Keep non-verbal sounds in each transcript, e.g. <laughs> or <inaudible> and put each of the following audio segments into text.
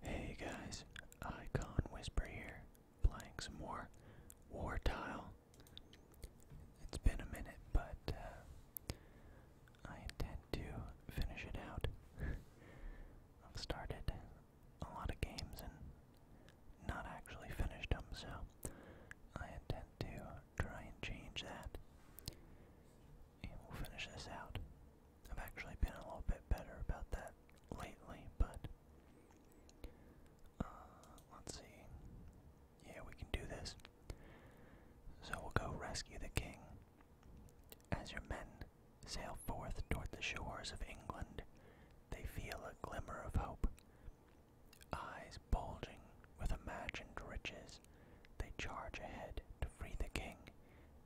Hey guys, Icon Whisper here, playing some more War Tile. It's been a minute, but uh, I intend to finish it out. <laughs> I've started a lot of games and not actually finished them, so I intend to try and change that and we'll finish this out. I've actually been a little bit better about that lately, but uh, let's see. Yeah, we can do this. So we'll go rescue the king. As your men sail forth toward the shores of England, they feel a glimmer of hope. Eyes bulging with imagined riches, they charge ahead to free the king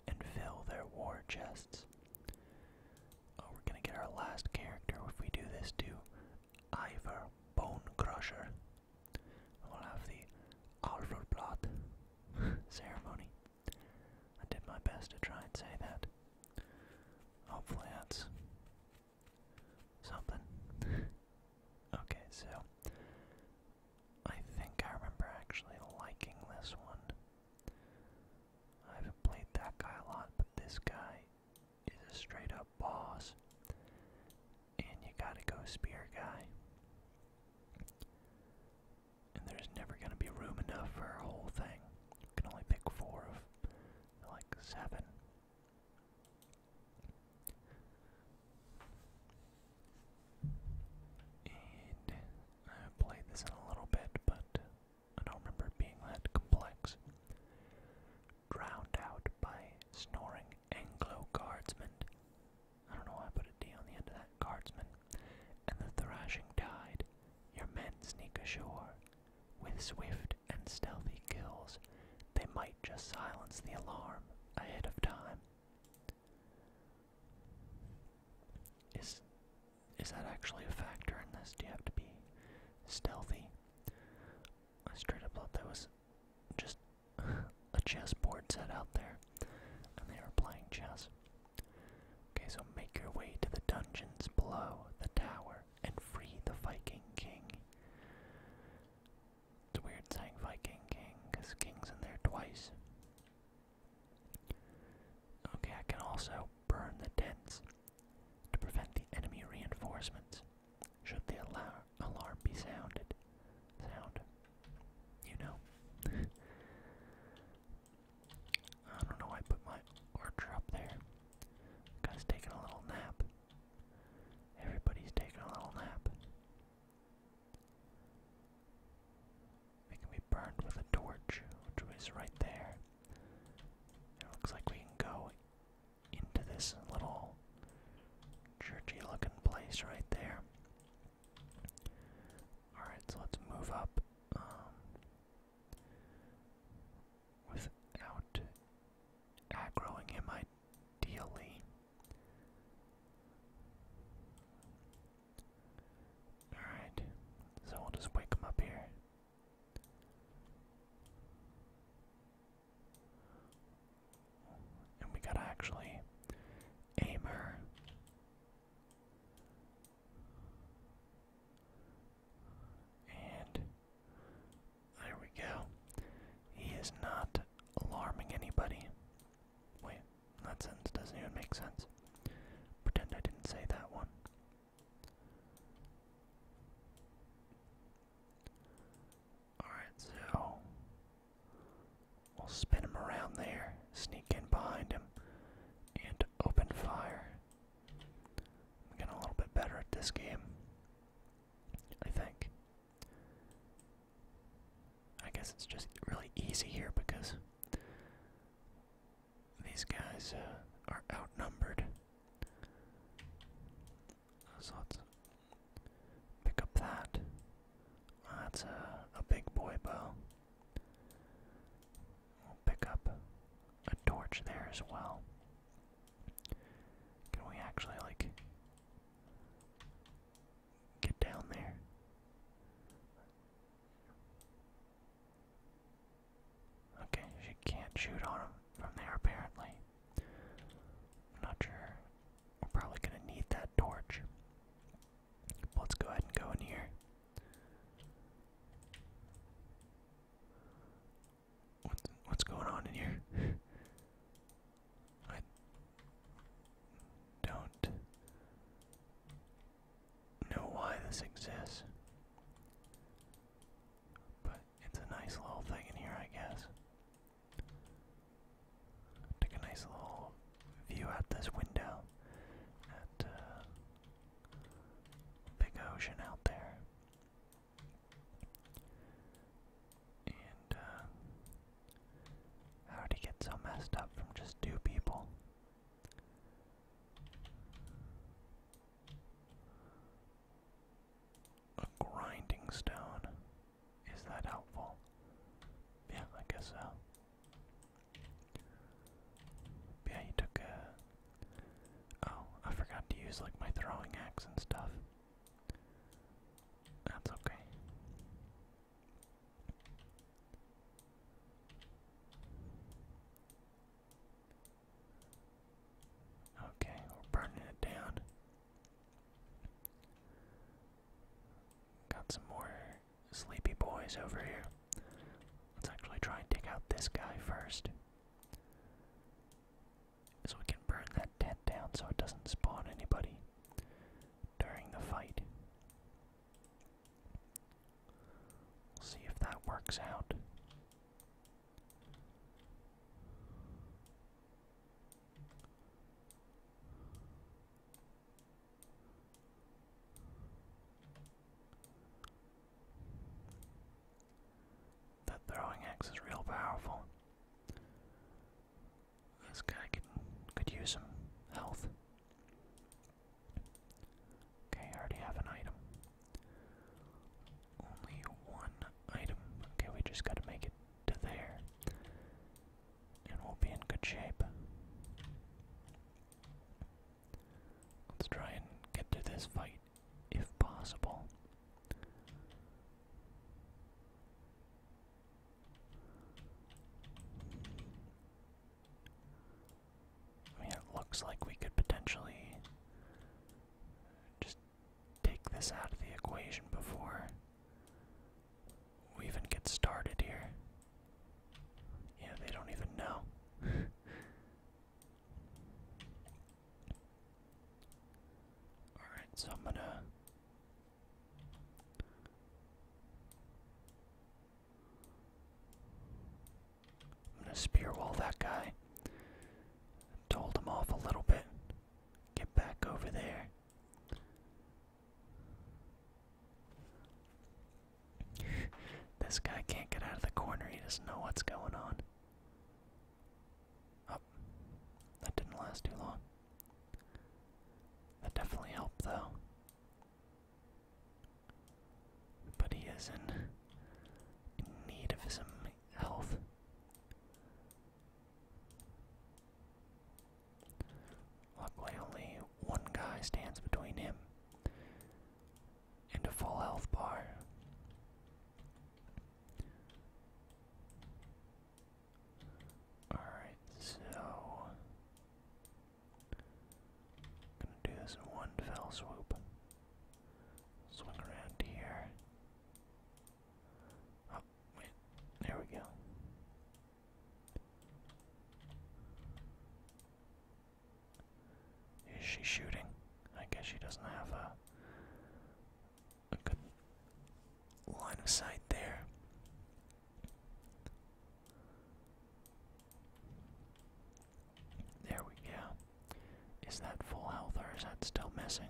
and fill their war chests. Oh, we're gonna get our last character if we do this to Ivor Bone Crusher. We'll have the Blood <laughs> ceremony. I did my best to try and say that. Hopefully that's something. <laughs> okay, so I think I remember actually liking this one. I haven't played that guy a lot, but this guy is a straight up boss. And you gotta go spear guy. And there's never gonna be room enough for a whole thing. You can only pick four of like seven. And I played this in a little bit, but I don't remember it being that complex. Drowned out by snoring Anglo guardsmen. I don't know why I put a D on the end of that guardsman. And the thrashing tide, your men sneak ashore. With swift and stealthy kills, they might just silence the alarm ahead of time. Is is that actually a factor in this? Do you have to be stealthy? I straight up thought that was just <laughs> a chessboard set out there, and they were playing chess. Okay, so make your way to the dungeons below the tower and free the Viking King. It's weird saying Viking King, because King's in there twice. Okay, I can also burn the tents to prevent the enemy reinforcements should the alar alarm be sounded. Sound. You know. <laughs> I don't know why I put my archer up there. Guy's taking a little nap. Everybody's taking a little nap. We can be burned with a torch, which is right there. It looks like we can go into this little churchy looking place right there. Alright, so let's move up um, without aggroing him ideally. Alright, so we'll just wake him up here. And we gotta actually aim her. And there we go. He is not alarming anybody. Wait, that sense doesn't even make sense. Pretend I didn't say that one. Alright, so we'll spin him around there, sneak in behind him, and open fire. I'm getting a little bit better at this game, I think. I guess it's just really easy here because these guys uh, are outnumbered. let's pick up that. that's a, uh, a big boy bow. pick up a torch there as well. Can we actually, like, get down there? Okay, she can't shoot on him from there apparently. not sure. We're probably gonna need that torch. Let's go ahead and go in here. What's what's going on in here? <laughs> I don't know why this exists. But it's a nice little thing in here, I guess. Take a nice little view out this window at uh, big ocean out there. And uh, how'd he get so messed up from just two people? A grinding stone. Is that helpful? Yeah, I guess so. Yeah, you took Oh, I forgot to use like my throwing axe and stuff. That's okay. Okay, we're burning it down. Got some more sleepy boys over here. Let's actually try and dig out this guy first. So we can burn that tent down so it doesn't spawn anybody during the fight see if that works out. That throwing axe is real powerful. This guy could, could use some health. Okay, I already have an item. Only one item. Okay, we just gotta make it to there. And we'll be in good shape. Let's try and get through this fight if possible. I mean, it looks like we could potentially just take this out of the equation before we even get started here. Yeah, they don't even know. <laughs> Alright, so I'm gonna. I'm gonna spearwall that guy. Told him off a little bit. Get back over there. this guy can't get out of the corner, he doesn't know what's going on. Oh, that didn't last too long. That definitely helped, though. But he is in, in need of some health. Luckily, only one guy stands between him and a full health bar. Alright, so Gonna do this in one fell swoop. Swing around here. Oh, wait. There we go. Is she shooting? I guess she doesn't have a a good line of sight there. There we go. Is that full health or is that still missing?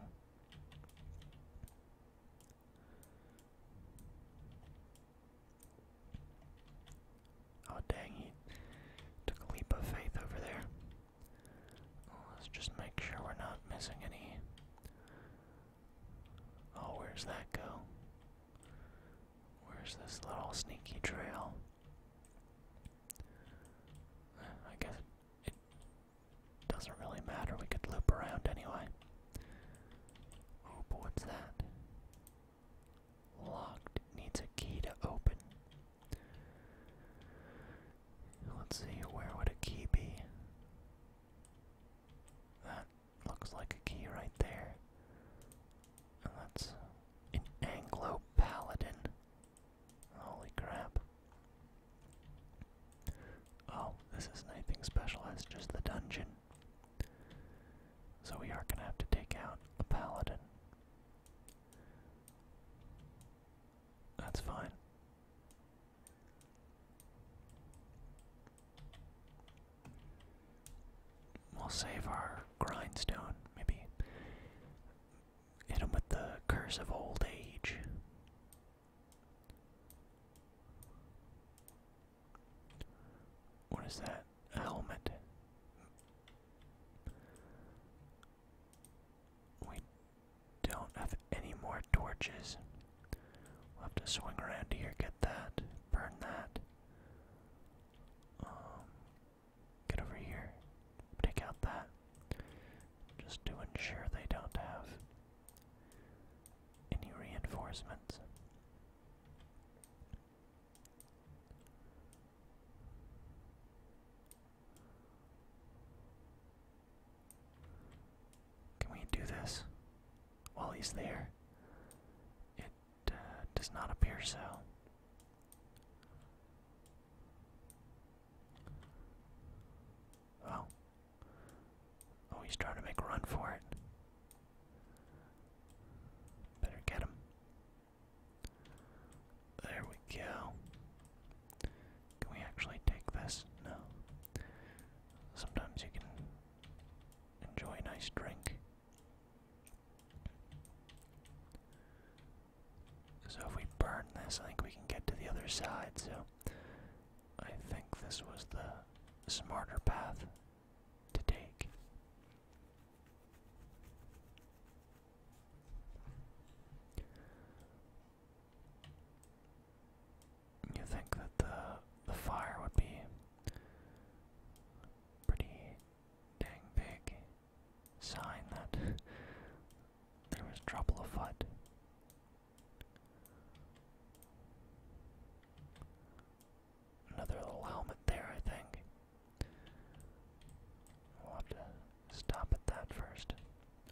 Oh dang, he took a leap of faith over there. Let's just make sure we're not missing any. Oh, where's that go? Where's this little sneaky trail? I guess it doesn't really matter. We could loop around anyway. Oh, what's that? Locked. Needs a key to open. Let's see, where would a key be? That looks like a key right there that's an Anglo Paladin. Holy crap. Oh, this isn't anything special, it's just the dungeon. So we are gonna have to take out the paladin. That's fine. We'll save our grindstone, maybe. Hit him with the curse of old age. What is that? helmet. We don't have any more torches. We'll have to swing around here, get that, burn that. Um, get over here. Take out that. Just to ensure they don't have any reinforcements. Can we do this while he's there? Uh, does not appear so. Oh. Oh, he's trying to make a run for it. Better get him. There we go. Can we actually take this? No. Sometimes you can enjoy a nice drink so if we burn this, I think we can get to the other side, so I think this was the smarter path to take. You think that the the fire would be pretty dang big sign that there was trouble afoot. Another little helmet there, I think. We'll have to stop at that first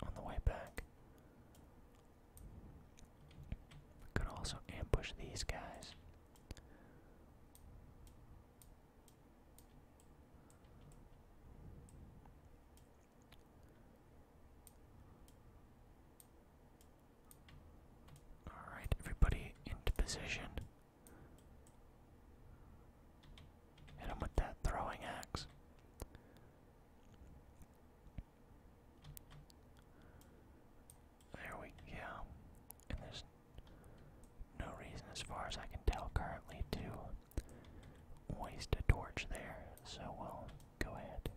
on the way back. Could also ambush these guys. All right, everybody into position. Hit with that throwing axe. There we go. And there's no reason, as far as I can tell currently, to waste a torch there, so we'll go ahead.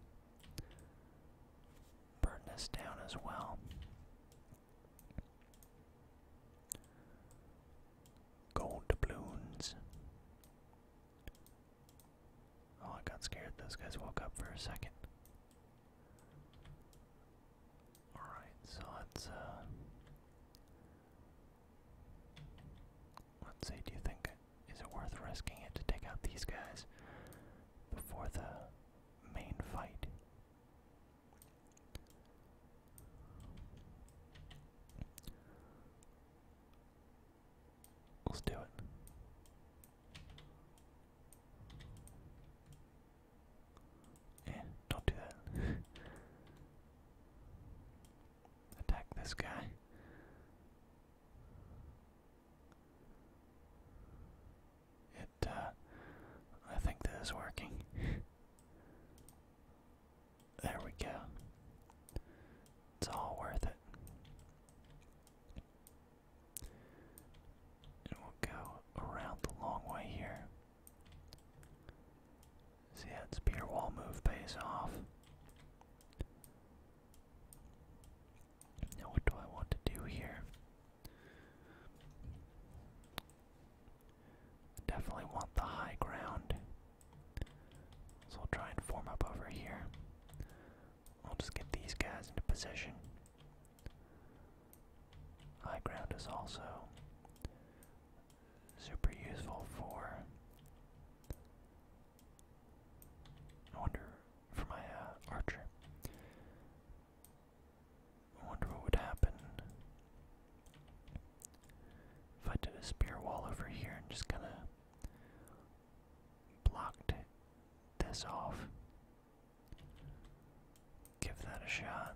Burn this down as well. Gold doubloons. Oh, I got scared. Those guys woke up for a second. Alright, so let's uh, let's see, do you think is it worth risking it to take out these guys before the main fight? Let's do it. Yeah, don't do that. <laughs> Attack this guy. It, uh, I think this working. <laughs> there we go. It's all worth it. And we'll go around the long way here. See that spear wall move pays off. Now what do I want to do here? Definitely want the high ground. So I'll try and form up over here. I'll just get these guys into position. High ground is also super useful for. I wonder for my uh, archer. I wonder what would happen if I did a spear wall over here and just kind of blocked this off. Give that a shot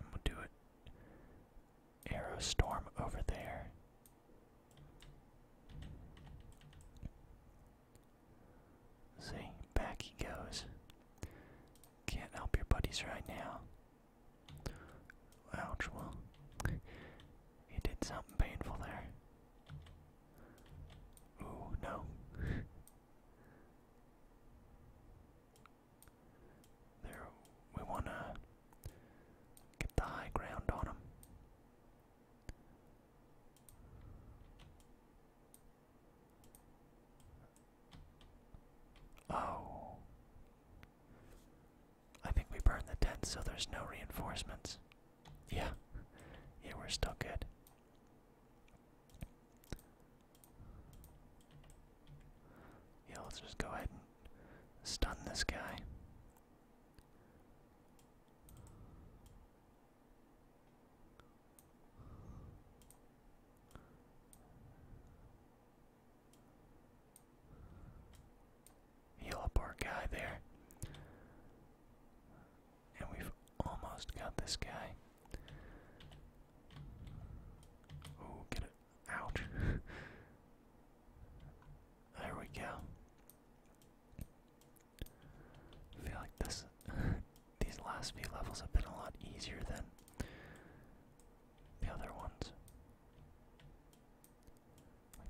we'll do it. Aerostorm over there. See, back he goes. Can't help your buddies right now. Ouch, well, you did something painful there. Ooh, no. there, we want to get the high ground on him. Oh. I think we burned the tent, so there's no reinforcements. Yeah, yeah, we're still good. Yeah, let's just go ahead and stun this guy. Heal up our guy there. And we've almost got this guy. Oh, get it. Ouch. <laughs> there we go. feel like this <laughs> these last few levels have been a lot easier than the other ones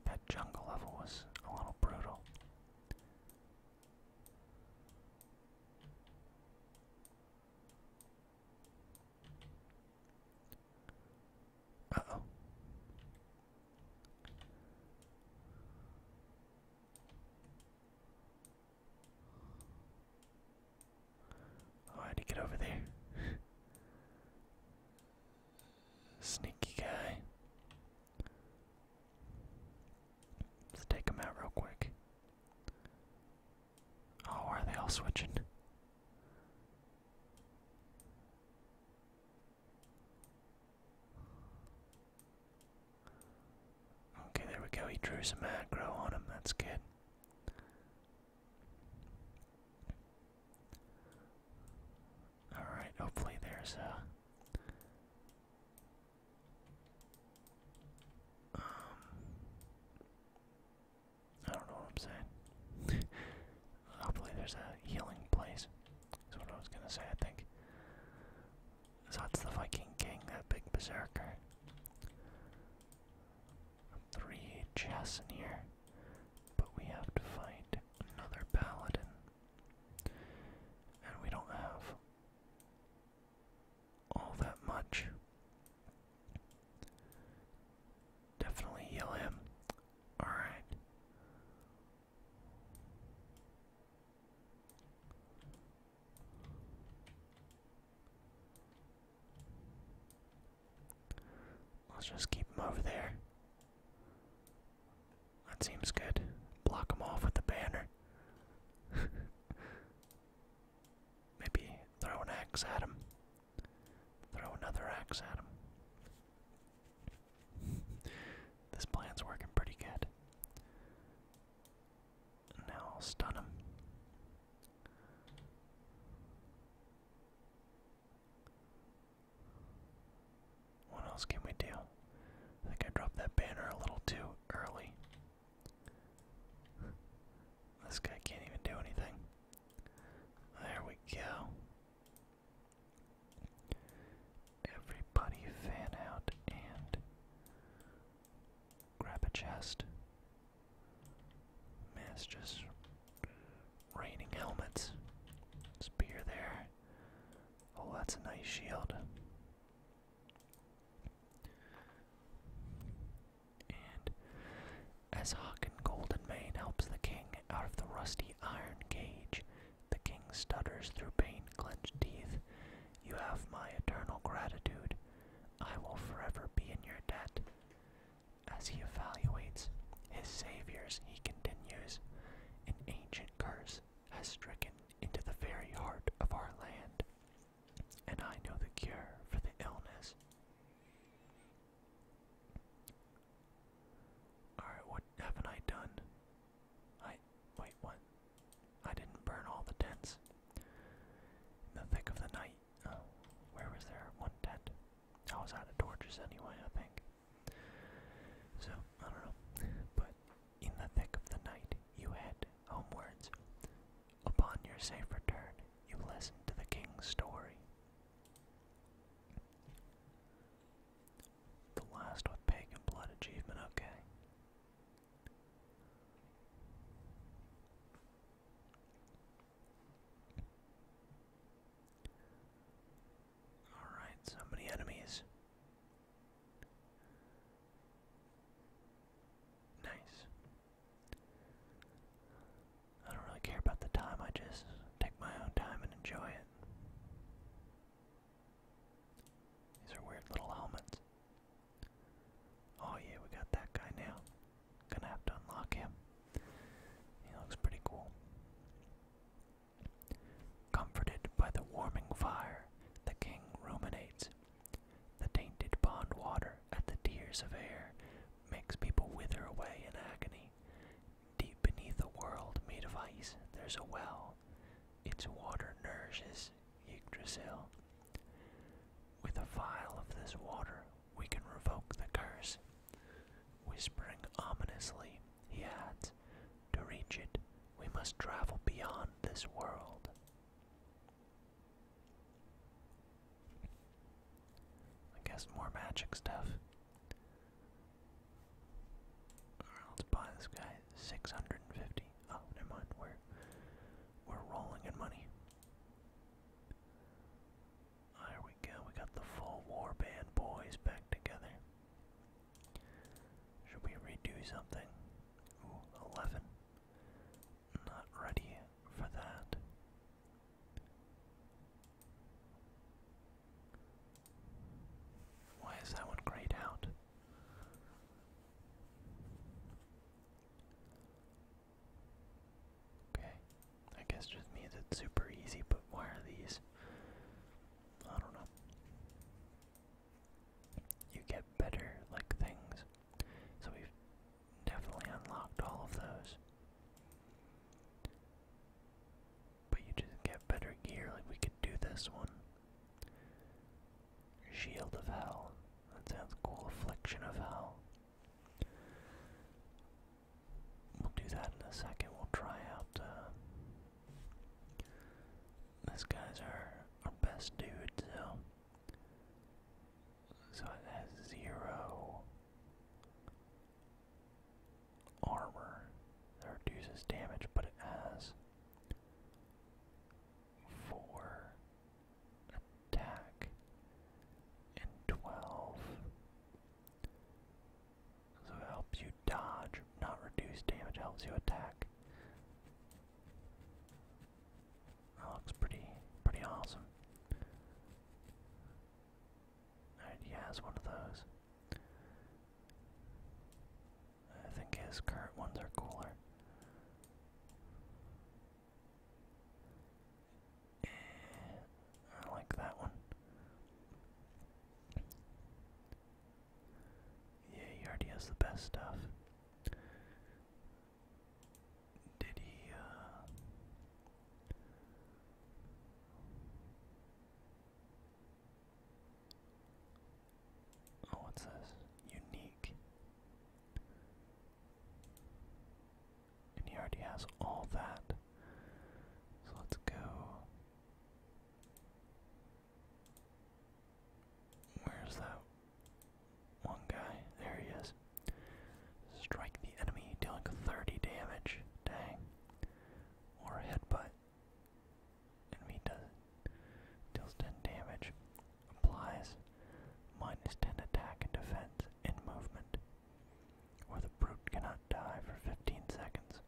that jungle level was a little brutal. Oh, I had to get over there. <laughs> Sneaky guy. Let's take him out real quick. Oh, are they all switching? Okay, there we go. He drew some aggro on him. That's good. Alright, hopefully there's a. Um, I don't know what I'm saying. <laughs> hopefully there's a healing place. That's what I was gonna say, I think. that's the Viking King, that big berserker. Three chests in here, but we have to fight another paladin. And we don't have all that much. Definitely heal him. Alright. Let's just keep them over there. That seems good. Block them off with a banner. <laughs> Maybe throw an axe at him. Throw another axe at him. <laughs> this plan's working pretty good. now I'll stun him. What else can we do? I think I dropped that banner a little too early. This guy can't even do anything. There we go. Everybody fan out and grab a chest. Man, raining helmets. Spear there. Oh, that's a nice shield. And as Hawk and Golden Mane helps the king out of the rusty iron cage, the king stutters through pain clenched teeth. You have my eternal gratitude. I will forever be in your debt. As he evaluates his saviors, he continues an ancient curse has stricken into the very heart of our land, and I know the cure for the illness. Alright, what haven't I done? I. wait, what? I didn't burn all the tents. In the thick of the night. Oh, where was there one tent? I was out of torches anyway, I think. So, I don't know. But in the thick of the night, you head homewards. Upon your safe return, you listen to the king's story. The last with pagan blood achievement, okay. Alright, so many enemies. Nice. I don't really care about the time, I just take my own time and enjoy it. These are weird little helmets. Oh yeah, we got that guy now. Gonna have to unlock him. He looks pretty cool. Comforted by the warming fire, the king ruminates. The tainted pond water at the tears of air makes people wither away in agony. Deep beneath a world made of ice, there's a well. Its water nourishes Yggdrasil. With a vial of this water, we can revoke the curse Whispering ominously, he adds, To reach it, we must travel beyond this world. I guess more magic stuff. let's buy this guy 650. Oh, never mind. We're we're rolling in money. There we go. We got the full war band boys back together. Should we redo something? 11. Not ready for that. Why is that one grayed out? Okay, I guess just means it's super easy, but why are these I don't know. You get better like things. So we've definitely unlocked all of those. But you just get better gear, like we could do this one. Shield of Hell. That sounds cool. Affliction of Hell. We'll do that in a second. We'll try out uh, this guy's our best dude, so so it has zero armor that reduces damage, but it has four attack and twelve so it helps you dodge, not reduce damage, helps you attack. That looks pretty pretty awesome. he has one of those. I think his current ones are cooler. Eh, I like that one. Yeah, he already has the best stuff. Did he, uh, Oh, what's this? Unique. And he already has all that. So let's go Where's that one guy? There he is. Strike the enemy, dealing 30 damage. Dang. Or a headbutt. Enemy does it. Deals 10 damage. Applies minus 10 attack and defense in movement. Or the brute cannot die for 15 seconds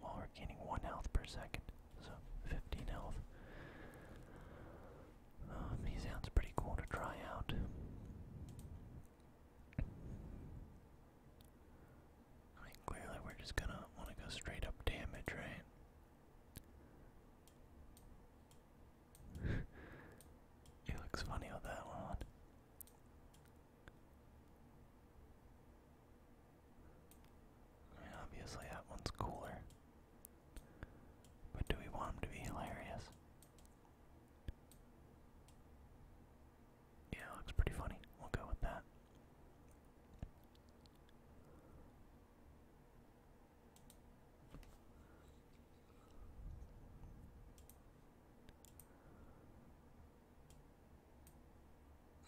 while we're gaining 1 health per second. So 15 health. Uh, he sounds pretty cool to try out. clearly we're just gonna want to go straight up damage, right? it <laughs> looks funny with that one obviously that one's cooler. But do we want him to be hilarious? Yeah, looks pretty funny. We'll go with that.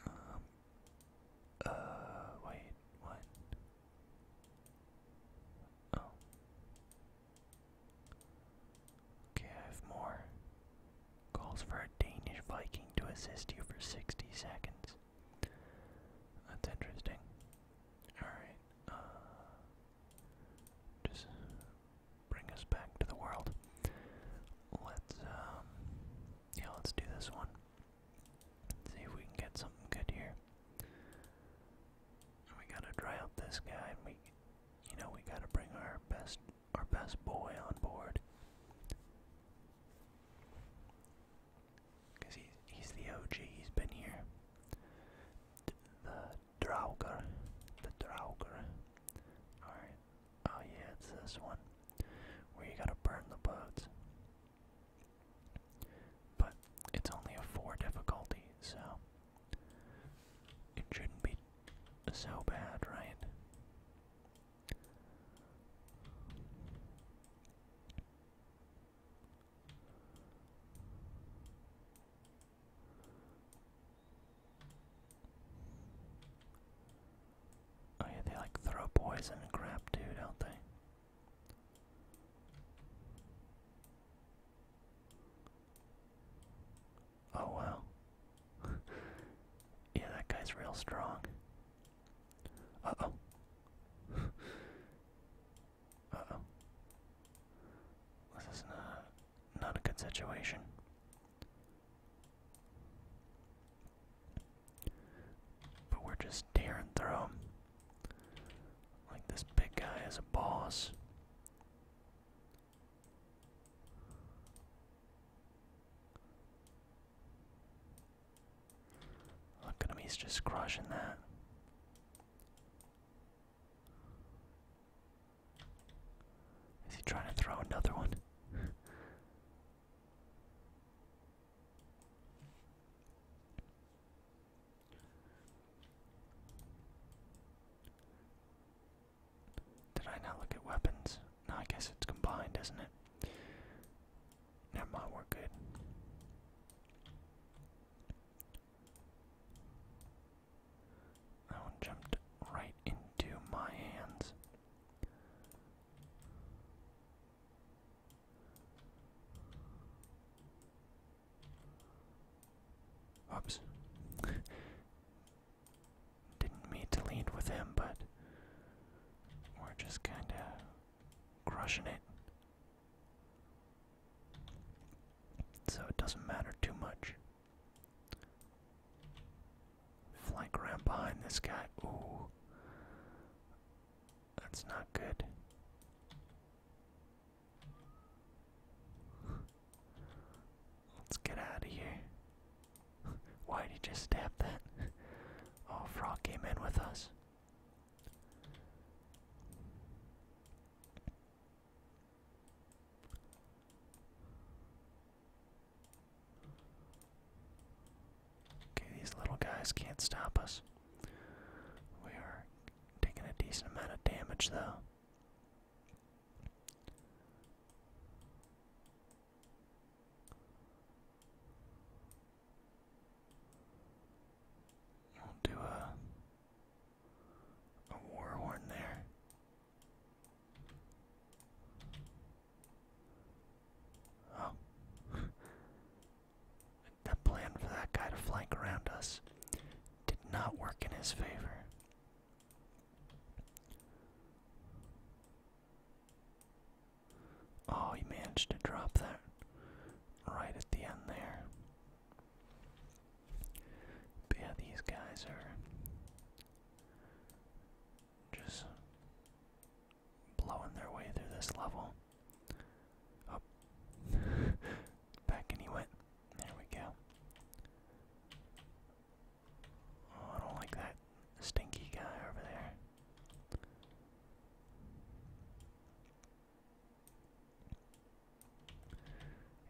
Um, uh. Wait. What? Oh. Okay, I have more. Calls for a Danish Viking to assist you for 60 seconds. That's interesting. Alright, uh, Just bring us back to the world let's um yeah, let's do this one. see if we can get something good here. We gotta dry out this guy, we, you know, we gotta bring our best, our best boy on board, cause he's he's the OG. He's been here. the Draugr, the Draugr. All right, Oh yeah, it's this one. Where you gotta burn the boats. But it's only a four difficulty, so it shouldn't be so bad, right? Oh yeah, they like throw poison and crap too, don't they? Oh wow. <laughs> yeah, that guy's real strong. Uh oh. <laughs> uh oh. This is not not a good situation. But we're just tearing through them. Like this big guy is a boss. Look at him, he's just crushing that. Is he trying to throw another one? <laughs> Did I not look at weapons? No, I guess it's combined, isn't it? Never mind, we're good. That one jumped right into my hands. Oops. Didn't mean to lead with him, but we're just kind of crushing it. So it doesn't matter too much. Flank around behind this guy. Ooh. That's not good. Let's get out of here. Why did you just stab that? Oh, Frog came in with us. Okay, these little guys can't stop us. We are taking a decent amount of damage, though. We'll do a, a war horn there. Oh. <laughs> the plan for that guy to flank around us did not work in his favor. Oh, he managed to drop that right at the end there. yeah, these guys are just blowing their way through this level. Oh. Up, <laughs> back and he went. There we go. Oh, I don't like that stinky guy over there.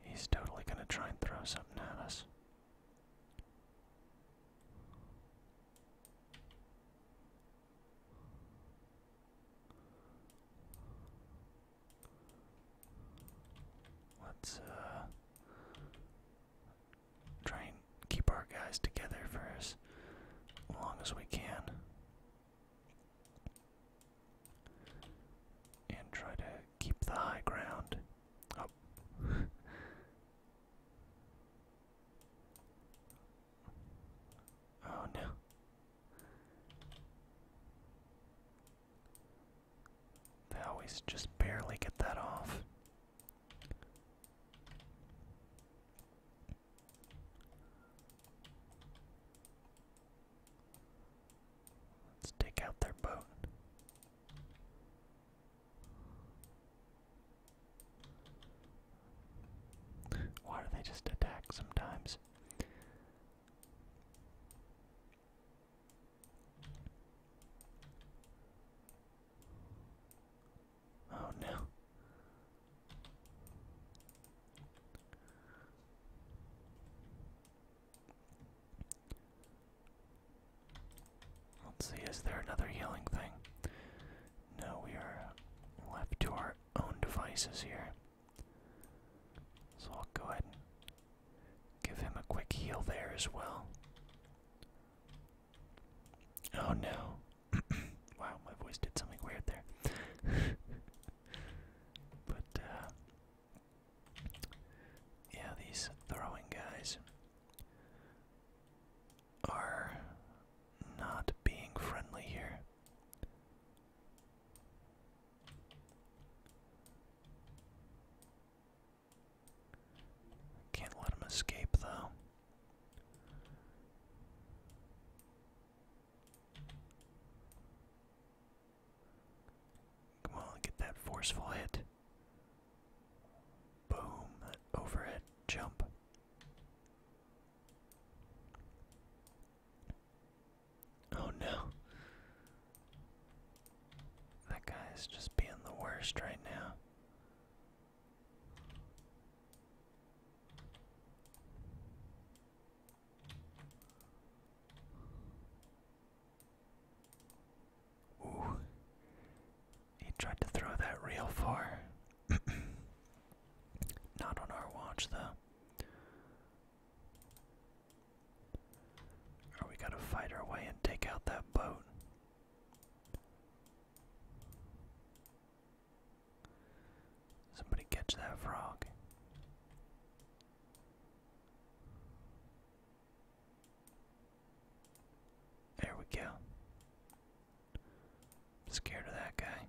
He's totally gonna try and throw something at us. Let's uh, try and keep our guys together for as long as we can. And try to keep the high ground. Oh. <laughs> Oh no. They always just barely get that off. Let's take out their boat. Why do they just attack sometimes? Oh no. Let's see, is there another healing thing? No, we are left to our own devices here. So I'll go ahead and give him a quick heal there as well. Oh no. <clears throat> wow, my voice did something weird there. <laughs> but, uh, Yeah, these throwing guys are not being friendly here. Can't let him escape, though. Come on, get that forceful hit. Boom, overhead jump. Oh no. That guy is just being the worst right now. Ooh. He tried to throw that real far. <clears throat> Not on our watch, though. Or we gotta fight our way and take out that boat. Somebody catch that frog. There we go. scared of that guy.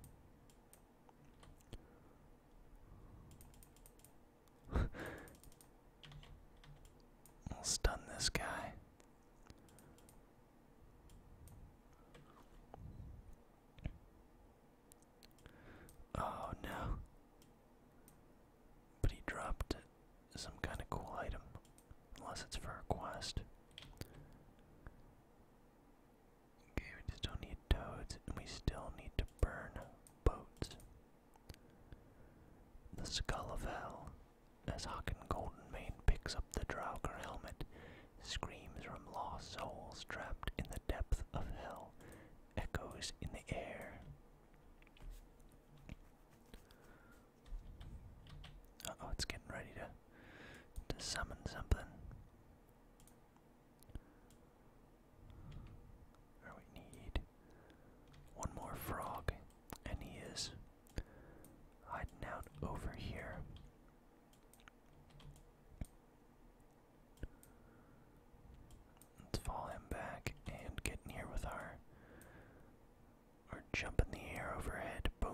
I'll <laughs> stun this guy. Oh no. But he dropped some kind of cool item. Unless it's for a quest. Okay, we just don't need toads, and we still need to burn boats. The skull of hell, as Hawken Goldenmane picks up the Draugr helmet, screams from lost souls trapped in the depth of hell, echoes in the air oh, it's getting ready to to summon something. we need one more frog, and he is hiding out over here. Let's follow him back and get in here with our or jump in the air overhead. Boom.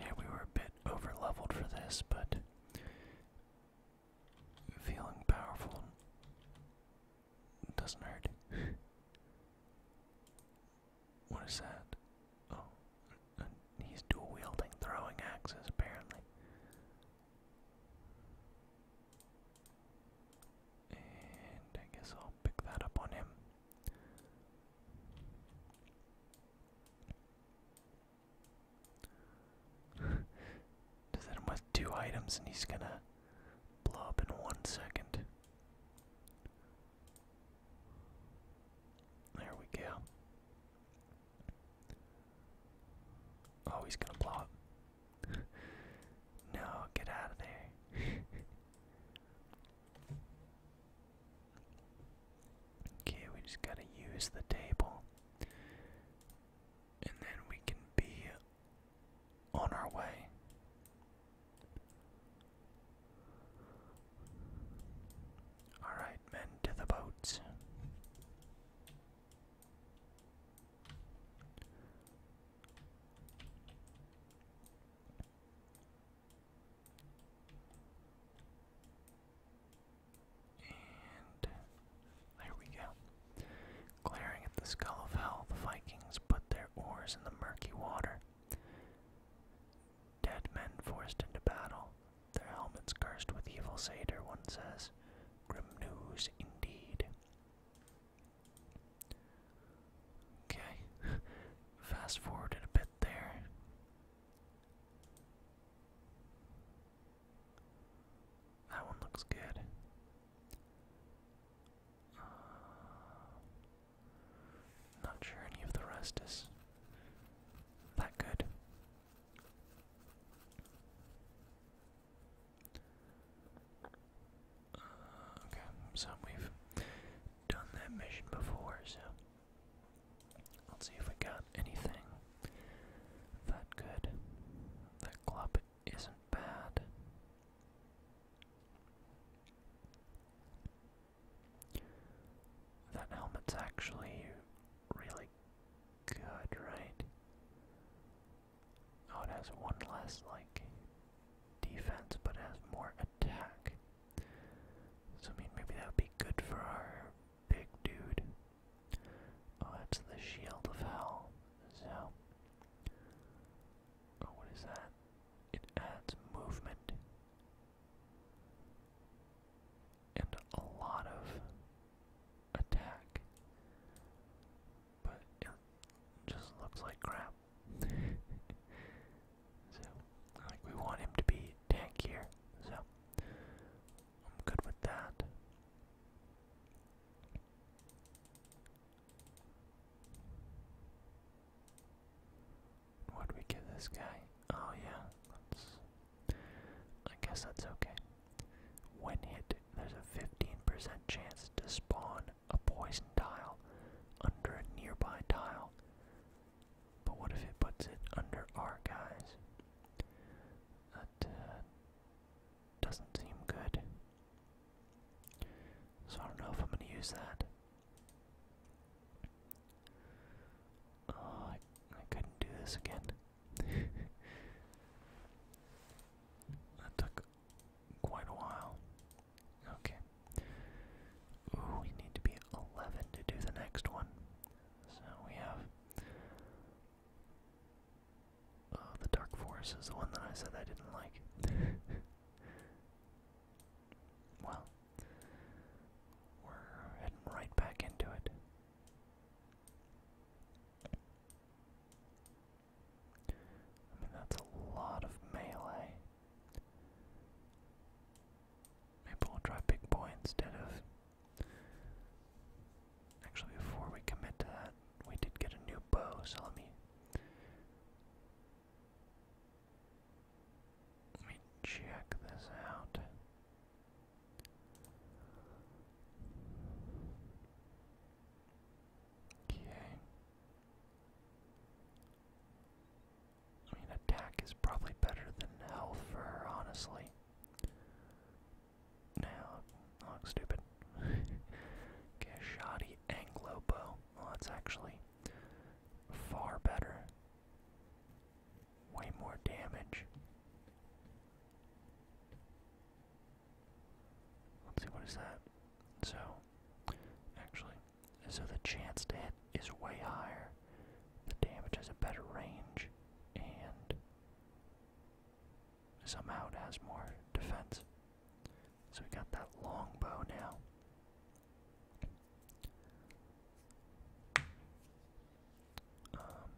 yeah, we were a bit over leveled for this, but feeling powerful doesn't hurt. <sighs> what is that? Oh, he's dual wielding throwing axes apparently. And I guess I'll pick that up on him. <laughs> Does that with two items and he's gonna blow up in one second. There we go. Oh, he's gonna block. <laughs> no, get out of there. <laughs> okay, we just gotta use the table. And then we can be on our way. Alright, men to the boats. And there we go. Glaring at the skull of hell, the Vikings put their oars in the murky water. Dead men forced into battle, their helmets cursed with evil satyr, one says. Grim news indeed. Okay, <laughs> fast forwarded a bit there. That one looks good. Uh, not sure any of the rest is that good. Uh, okay, so we've done that mission before, so let's see if we got anything that good. That club isn't bad. That helmet's actually really good, right? Oh, it has one less, like, defense, but it has more attack. So, I mean, maybe that would be good for our big dude. Oh, it's the Shield of Hell. So, oh, what is that? It adds movement and a lot of attack. But it just looks like crap. <laughs> so, like, we want him to be tankier, so I'm good with that. What do we give this guy? Oh, yeah, I guess that's okay. When hit, there's a 15% chance to spawn a poison tile under a nearby tile. But what if it puts it under our guys? That uh, doesn't seem good. So I don't know if I'm going to use that. Oh, I couldn't do this again that took quite a while. Okay. Ooh, we need to be 11 to do the next one. So we have. Uh, the Dark Forest is the one that I said I didn't like. well, we're heading right back into it. I mean, that's a lot of melee. Maybe we'll try big boy instead of. Actually, before we commit to that, we did get a new bow, so let me. Let me check this out. Okay. I mean, attack is probably better than health for her, honestly. Now, I look stupid. <laughs> okay, shoddy Anglo bow. that's actually far better. Way more damage. Let's see, what is that? So, actually, so the chance to hit is way higher. The damage has a better range, and somehow it has more defense. So we got that longbow now. Um,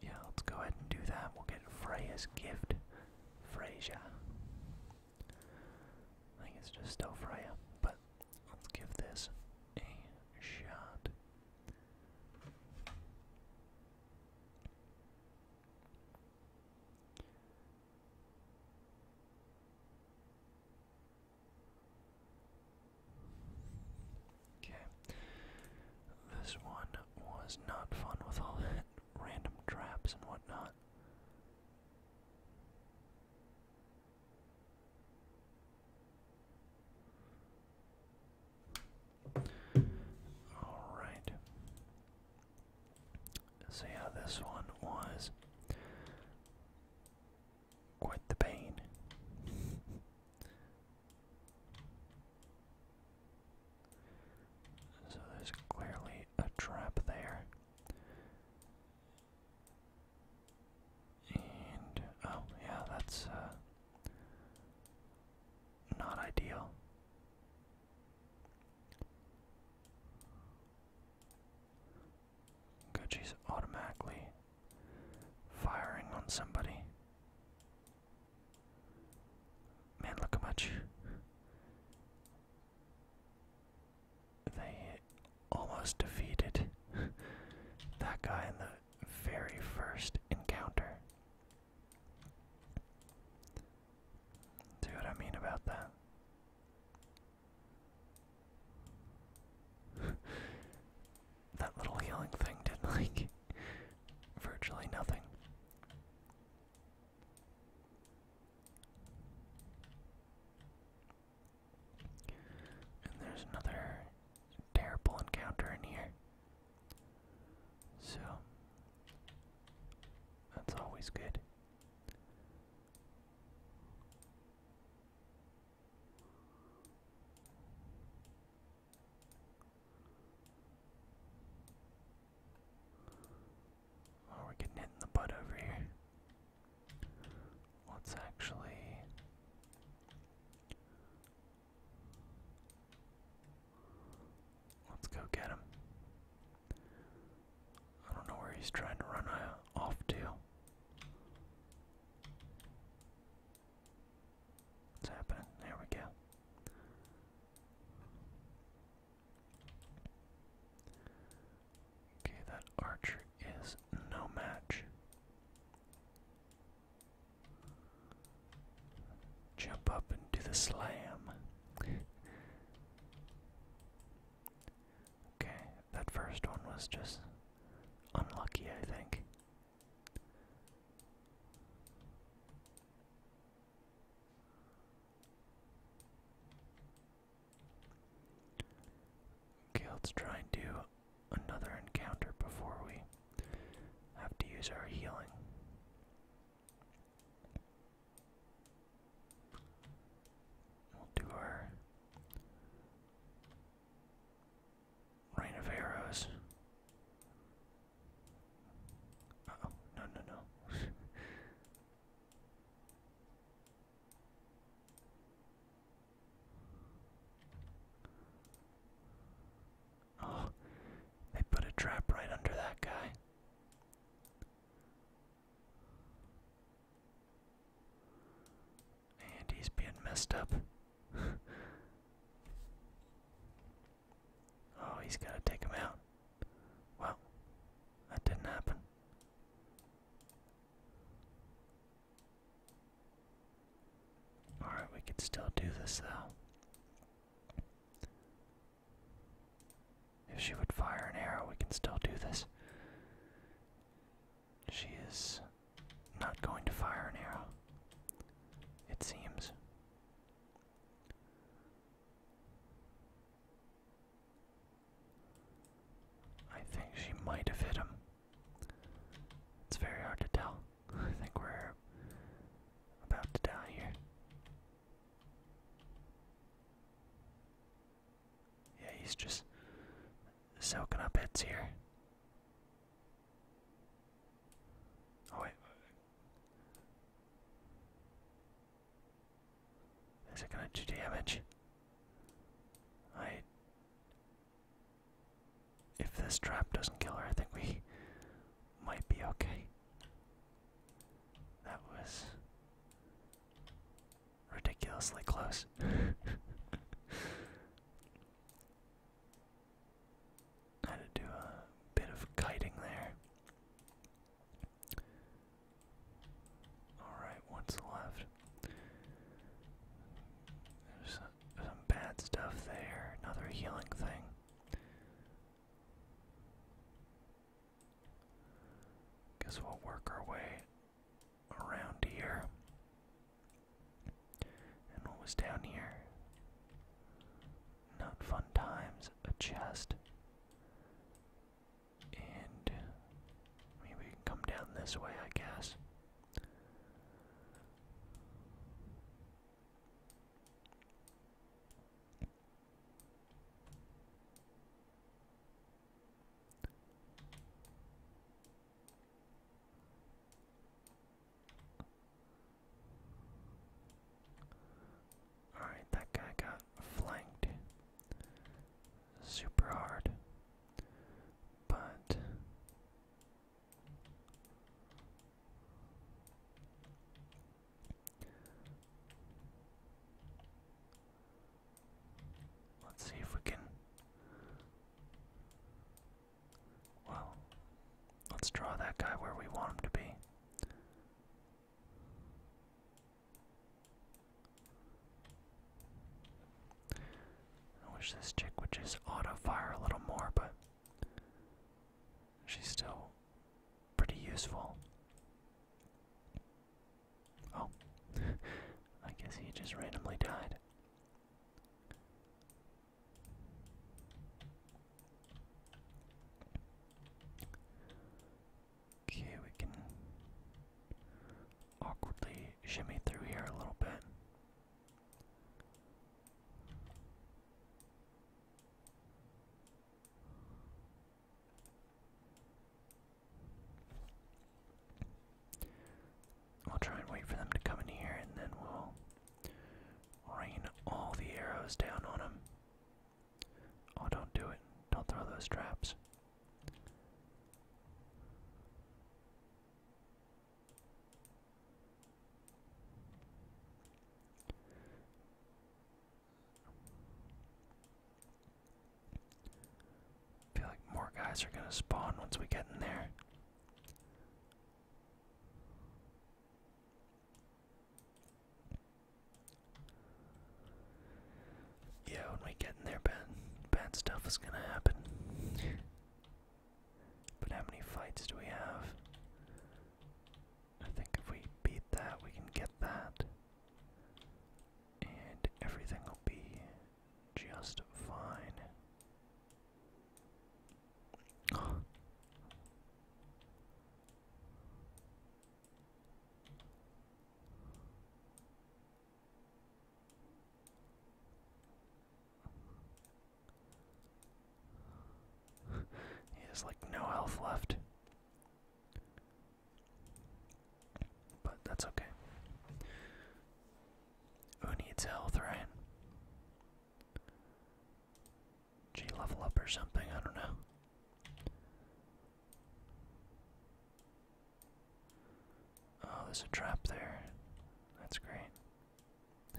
yeah, let's go ahead and do that. We'll get Freya's gift. Freya. I think it's just still Freya, but let's give this a shot. Okay. This one was not fun with all the <laughs> random traps and whatnot. Alright. So, yeah, this one was quite the pain. <laughs> So there's clearly a trap there. And oh yeah, that's uh not ideal. Gucci's automatically firing on somebody. Man, look how much they almost defeated that guy in the very first encounter. See what I mean about that? that little healing thing did <laughs> like virtually nothing. And there's another terrible encounter in here. So, that's always good. Oh, we're getting hit in the butt over here. Let's actually. Let's go get him. I don't know where he's trying to run uh, off to. It's happening. There we go. Okay, that archer is no match. Jump up and do the slam. <laughs> okay, that first one was just unlucky, I think. Okay, let's try and do another encounter before we have to use our healing. We'll do our rain of arrows. Uh oh, no, no, no. <laughs> oh, they put a trap right under that guy. And he's being messed up. <laughs> Oh, he's gotta take him out. Well, that didn't happen. Alright, we could still do this though. If she would fire an arrow, we can still do this. She is not going to fire an arrow, it seems. I think she might have hit him. It's very hard to tell. <laughs> I think we're about to die here. Yeah, he's just soaking up hits here. Oh, wait, is it gonna do damage? I. If this trap doesn't kill her, I think we might be okay. That was ridiculously close. <laughs> I had to do a bit of kiting there. Alright, what's left? There's some bad stuff there. Another healing thing. Guess we'll work our way around here. And what was down here? Not fun times, a chest. And maybe we can come down this way, I guess. Alright, that guy got flanked super hard. But let's see if we can well, let's draw that guy where we want him to be. I wish this chick would just auto fire a little more, but she's still pretty useful. Oh, <laughs> I guess he just randomly died. Okay, we can awkwardly shimmy through here a little bit. I'll try and wait for them to come in here and then we'll Rain all the arrows down on him. Oh, don't do it. Don't throw those traps. feel like more guys are going to spawn once we get in there. Yeah, when we get in there, bad, bad stuff is gonna happen. but how many fights do we have? I think if we beat that, we can get that. And everything will be just fine he has like no health left. But that's okay. Who needs health, right? G level up or something, I don't know. Oh, there's a trap there. That's great.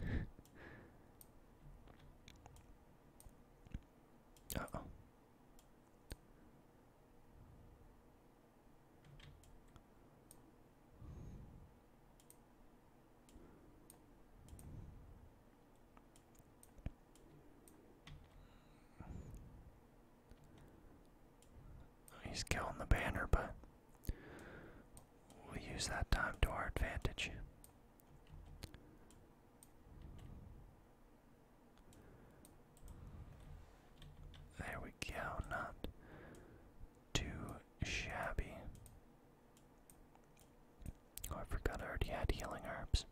<laughs> oh. He's killing the banner, but we'll use that time to our advantage. There we go, not too shabby. Oh, I forgot I already had healing herbs.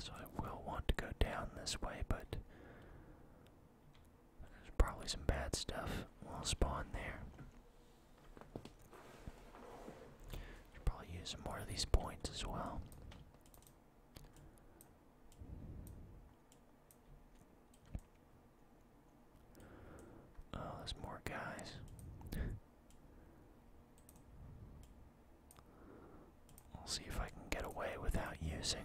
So I will want to go down this way, but there's probably some bad stuff will spawn there. Should probably use more of these points as well. Oh, there's more guys. I'll <laughs> see if I can get away without using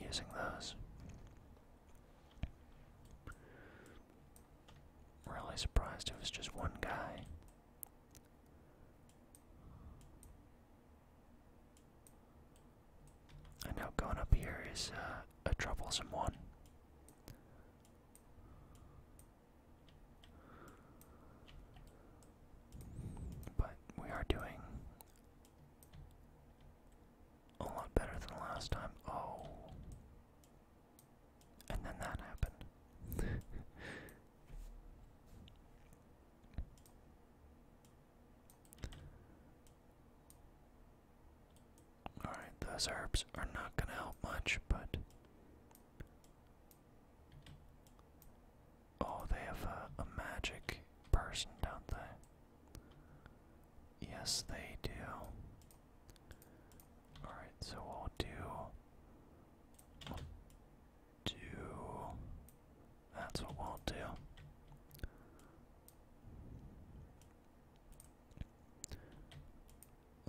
using those really surprised it was just one guy. I know going up here is uh, a troublesome one. But we are doing a lot better than last time. Oh. And then that happened. <laughs> Alright, those herbs are not going to help much, but. Oh, they have a, magic person, don't they? Yes, they do. Alright, so we'll do. do. That's what we'll do.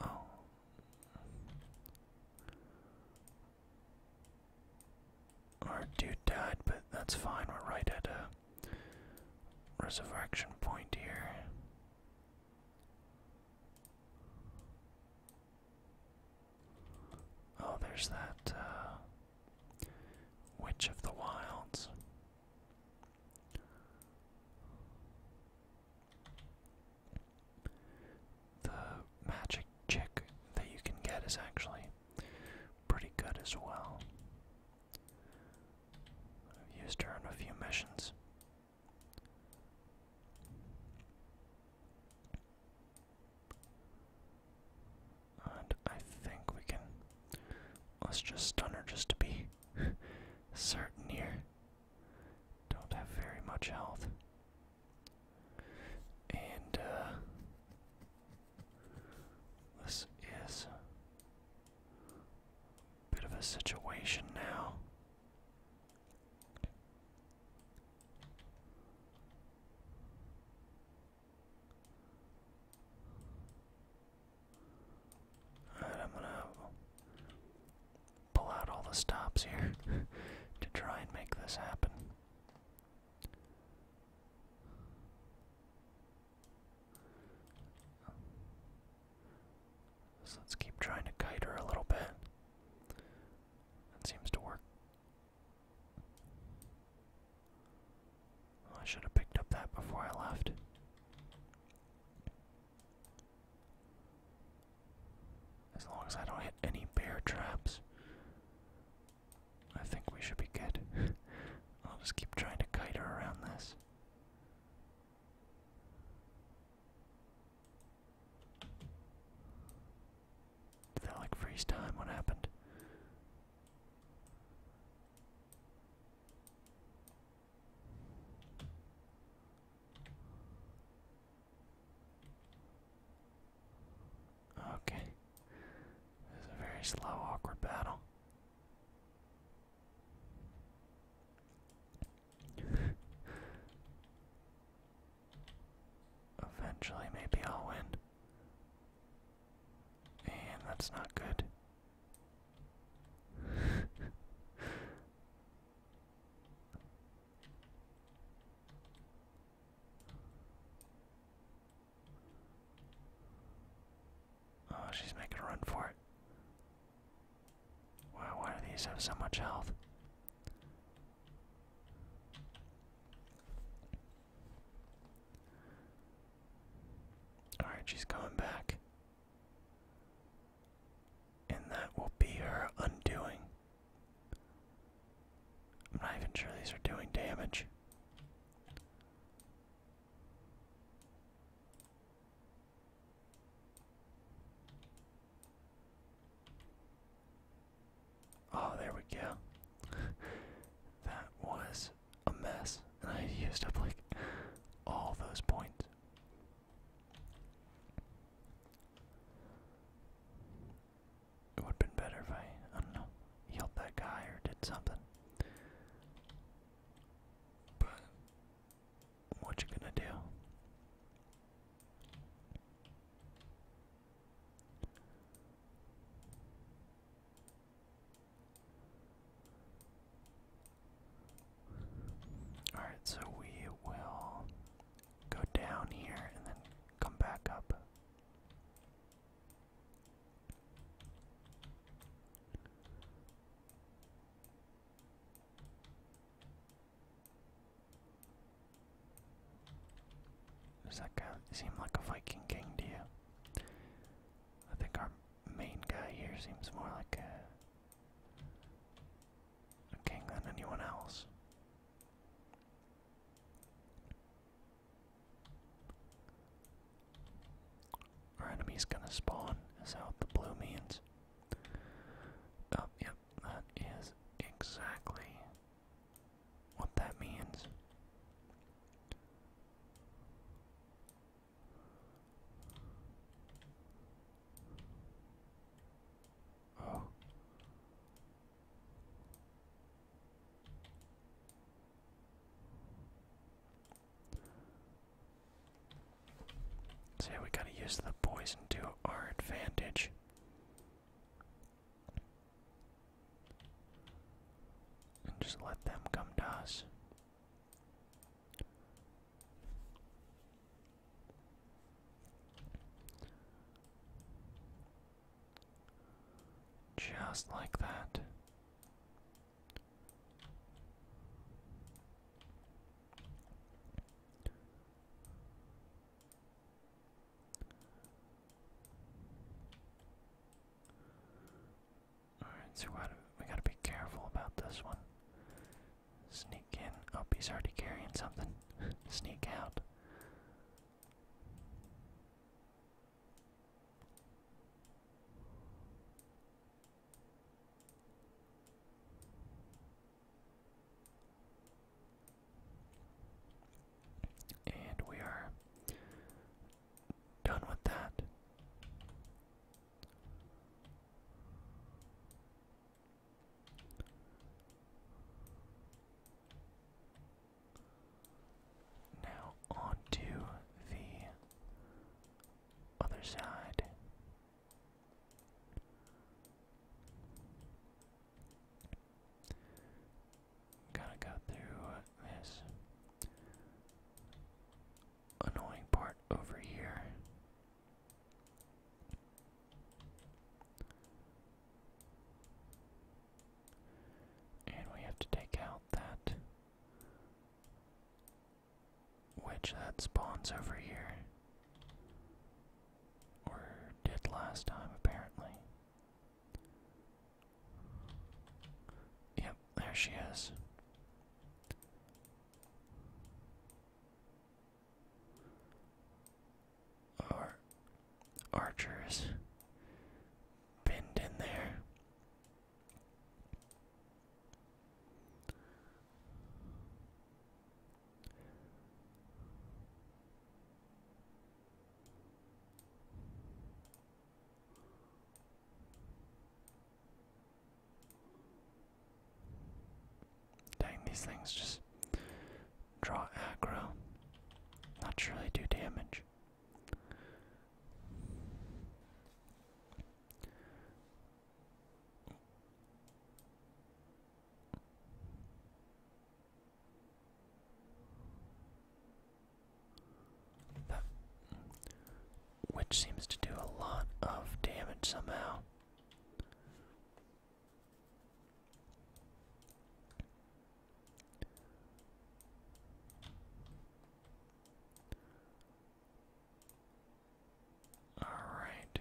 Oh. Our dude died, but that's fine. We're right at a resurrection point here. Oh, there's that uh, Witch of the Wilds. The magic chick that you can get is actually pretty good as well. I've used her in a few missions. And I think we can. Let's just stun her just to be <laughs> certain here. Don't have very much health. And, uh. This is a bit of a situation now. I'm gonna pull out all the stops here <laughs> to try and make this happen. So let's keep trying to kite her a little bit. That seems to work. I should have picked up that before I left. As long as I don't hit any bear traps, I think we should be good. <laughs> I'll just keep trying to kite her around this. Did that like freeze time? What happened? Okay. This a very slow, awkward battle. Eventually, maybe I'll win. And that's not good. <laughs> oh, she's making a run for it why do these have so much health? Alright, she's coming back. And that will be her undoing. I'm not even sure these are doing damage. Oh, there we go. <laughs> that was a mess, and I used up like all those points. It would have been better if I, I don't know, healed that guy or did something. But what you gonna do? All right, so we will go down here and then come back up. Does that guy seem like a Viking king to you? I think our main guy here seems more like a, king than anyone else. Our enemy's gonna spawn, is that the blue means? Oh, yep, that is exactly what that means. Oh. So yeah, we gotta use the poison to our advantage. And just let them come to us. Just like that. Alright, so we gotta be careful about this one. Sneak in. Oh, he's already carrying something. <laughs> Sneak out. And we are done with that. Now on to the other side. Gotta go through this annoying part over here. And we have to take out that which that spawns over here. Or did last time, apparently. Yep, there she is. Our archers pinned in there. Dang, these things just draw aggro. Not sure do damage. But, which seems to do a lot of damage somehow. Alright.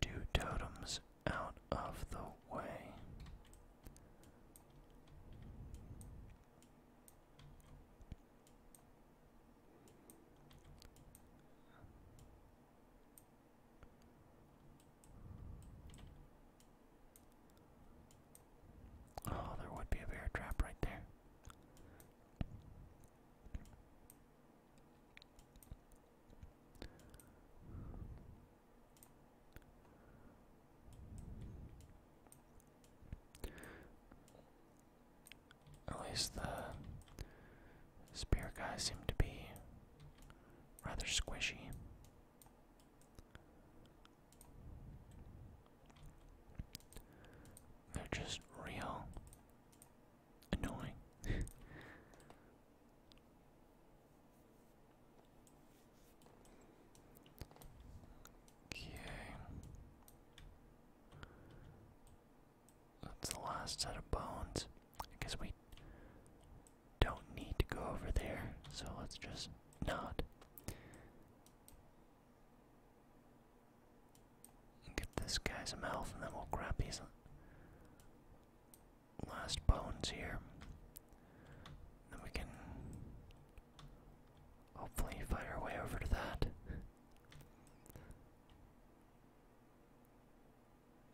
Two totems out of the way. Oh, there would be a bear trap right there. At least the spear guy seemed to be rather squishy. They're just real annoying. okay. That's the last set of bones. I guess we don't need to go over there, so let's just not and get this guy's mouth, and then we'll grab these last bones here. Then we can hopefully find our way over to that.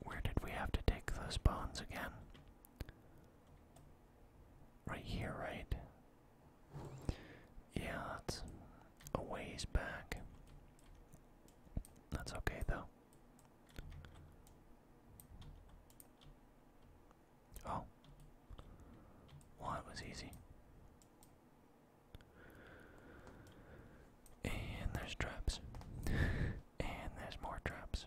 Where did we have to take those bones again? Right here, right? Yeah, it's a ways back. That's okay though. Oh. was easy. And there's traps. <laughs> and there's more traps.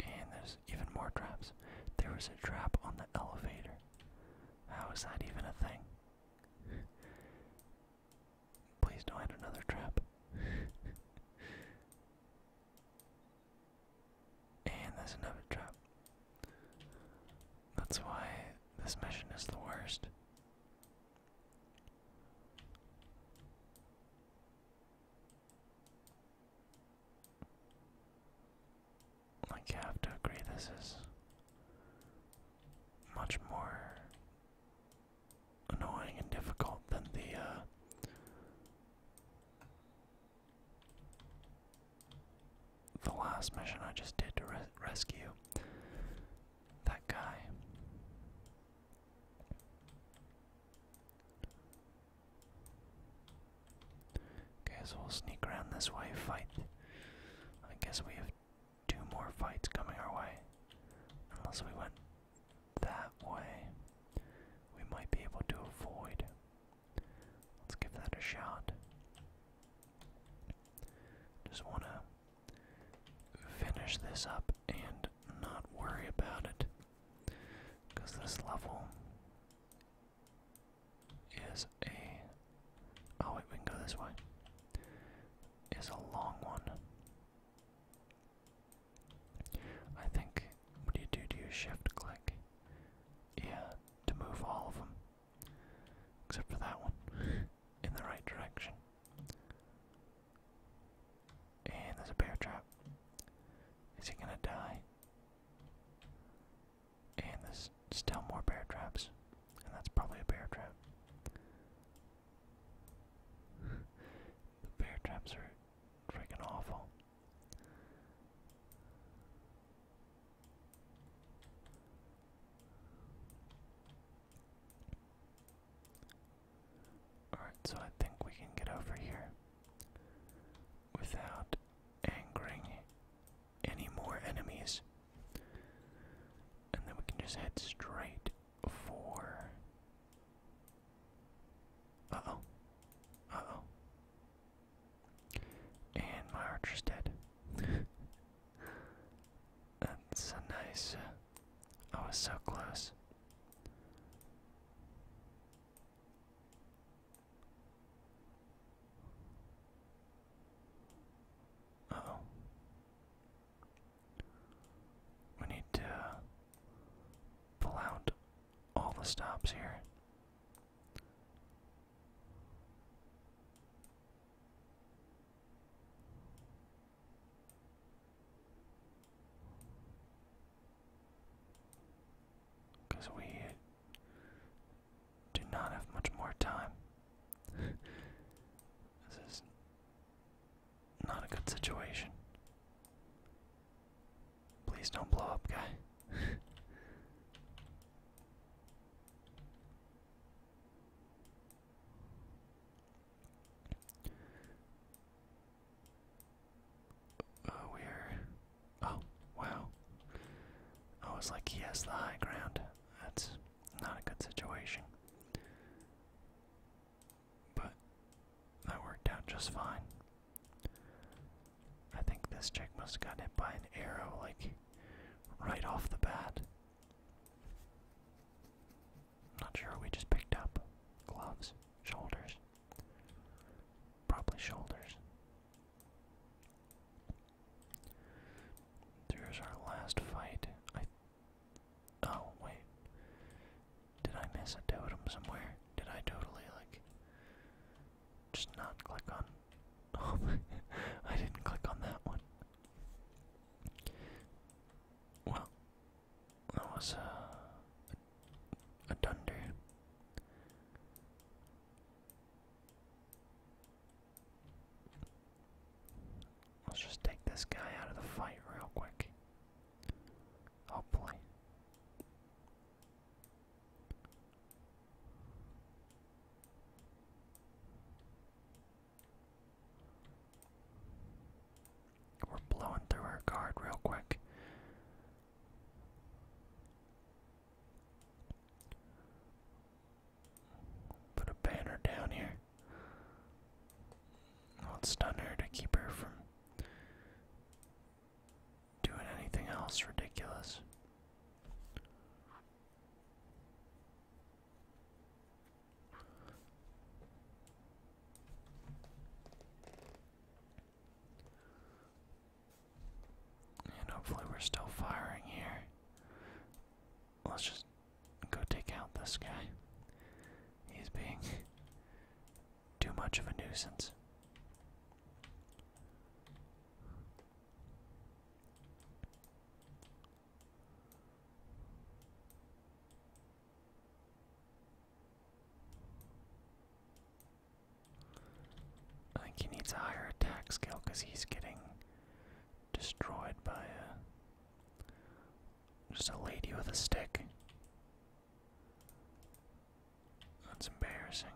And there's even more traps. There was a trap on the elevator. How is that even a thing? <laughs> Please don't add another trap. <laughs> and there's another trap. That's why this mission is the worst. Like, you have to agree, this is much more annoying and difficult than the, uh, the last mission I just did to rescue that guy. Okay, so we'll sneak around this way, fight. I guess we have two more fights coming our way. Unless we went that way, we might be able to avoid. Let's give that a shot. Just want to finish this up and not worry about it. Because this level is a. Oh, wait, we can go this way. Is a long one. I think. What do you do? Do you shift click? Yeah, to move all of them. Except for that one. <laughs> In the right direction. And there's a bear trap. Is he gonna die? And there's still more bear traps. And that's probably a bear trap. <laughs> the bear traps are freaking awful. Alright, so I think we can get over here without angering any more enemies. And then we can just head straight for. Uh oh. Uh oh. And my archer's dead. <laughs> That's a nice uh, I was so close. oh. We need to pull out all the stops here. Because we do not have much more time. <laughs> this is not a good situation. Please don't blow up, guy. Oh, we're. Oh, wow. I was like, he has the high ground. That's not a good situation. But that worked out just fine. I think this chick must have gotten hit by an arrow, like, right off the bat. Not sure we just picked up. Gloves, shoulders. Probably shoulders. There's our last fight. Oh, wait. Did I miss a totem somewhere? Did I totally, like. Just not click on. <laughs> Oh, <laughs> I didn't click on that one. Well, that was a, uh, a dunder. Let's just take this guy out of the fight real quick. Hopefully. We're blowing through our guard real quick. Put a banner down here. I'll stun her to keep her from doing anything else ridiculous. And hopefully, we're still firing here. Let's just go take out this guy. He's being <laughs> too much of a nuisance. I think he needs a higher attack skill because he's getting destroyed by a, uh, just a lady with a stick. That's embarrassing.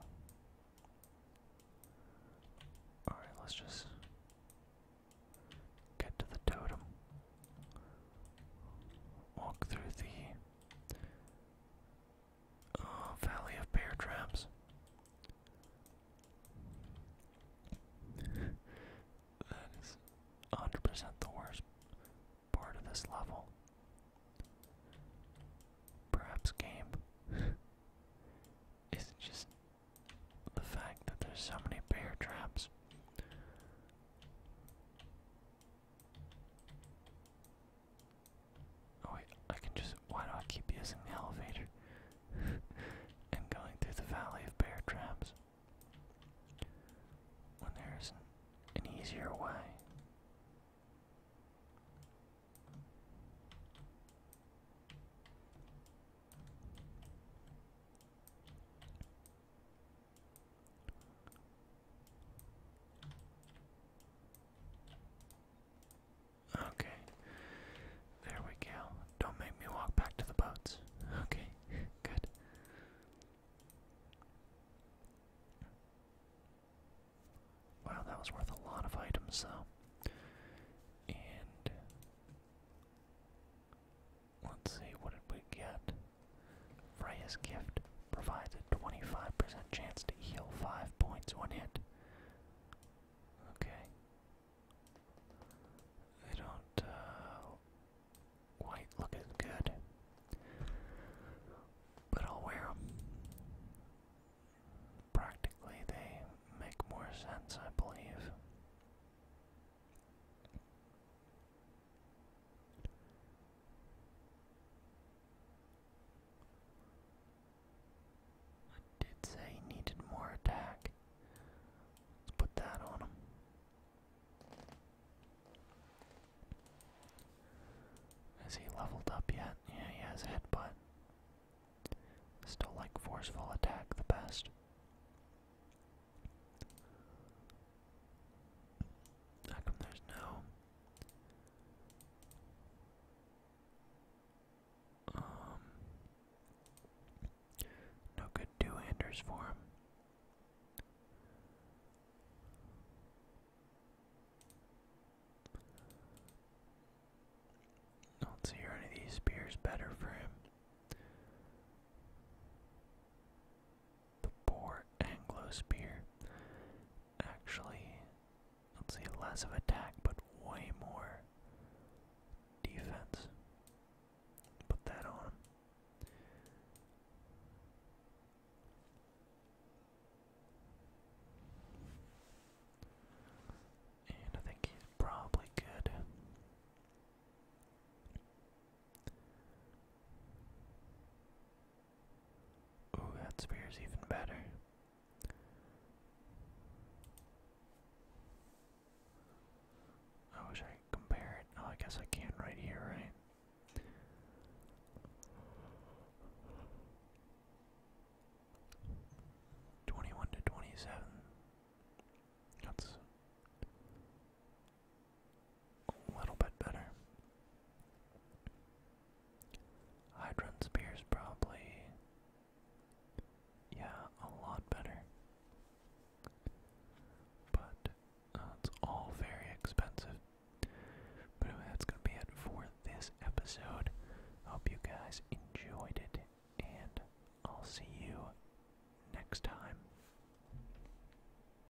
Alright, let's just get to the totem. Walk through the uh, Valley of Bear Traps. <laughs> that is 100% the worst part of this level. Perhaps game <laughs> is just the fact that there's so many bear traps. Oh wait, I can just, why do I keep using the elevator? <laughs> and going through the valley of bear traps. When there an easier way. Okay. There we go. Don't make me walk back to the boats. Okay, <laughs> good. Wow, that was worth a lot of items, though. And Let's see, what did we get? Freya's Gift provides a 25% chance to heal 5 points when hit. Okay. They don't uh, quite look as good. But I'll wear them. Practically, they make more sense, I believe. I did say needed more attack. Let's put that on him. Is he leveled up yet? Yeah, he has headbutt. Still like forceful attack the best. How come there's no um, no good two-handers for him? I don't see any of these spears better for him the poor Anglo spear actually, let's see, less of attack but way more defense. Put that on And I think he's probably good. Ooh, that spear is even better. I wish I compare it. Oh, I guess I can right here, right? Twenty-one to twenty-seven. That's a little bit better. Hydron Spear's probably, yeah, a lot better. But uh, it's all very expensive. But anyway, that's going to be it for this episode. Hope you guys enjoyed it, and I'll see you next time.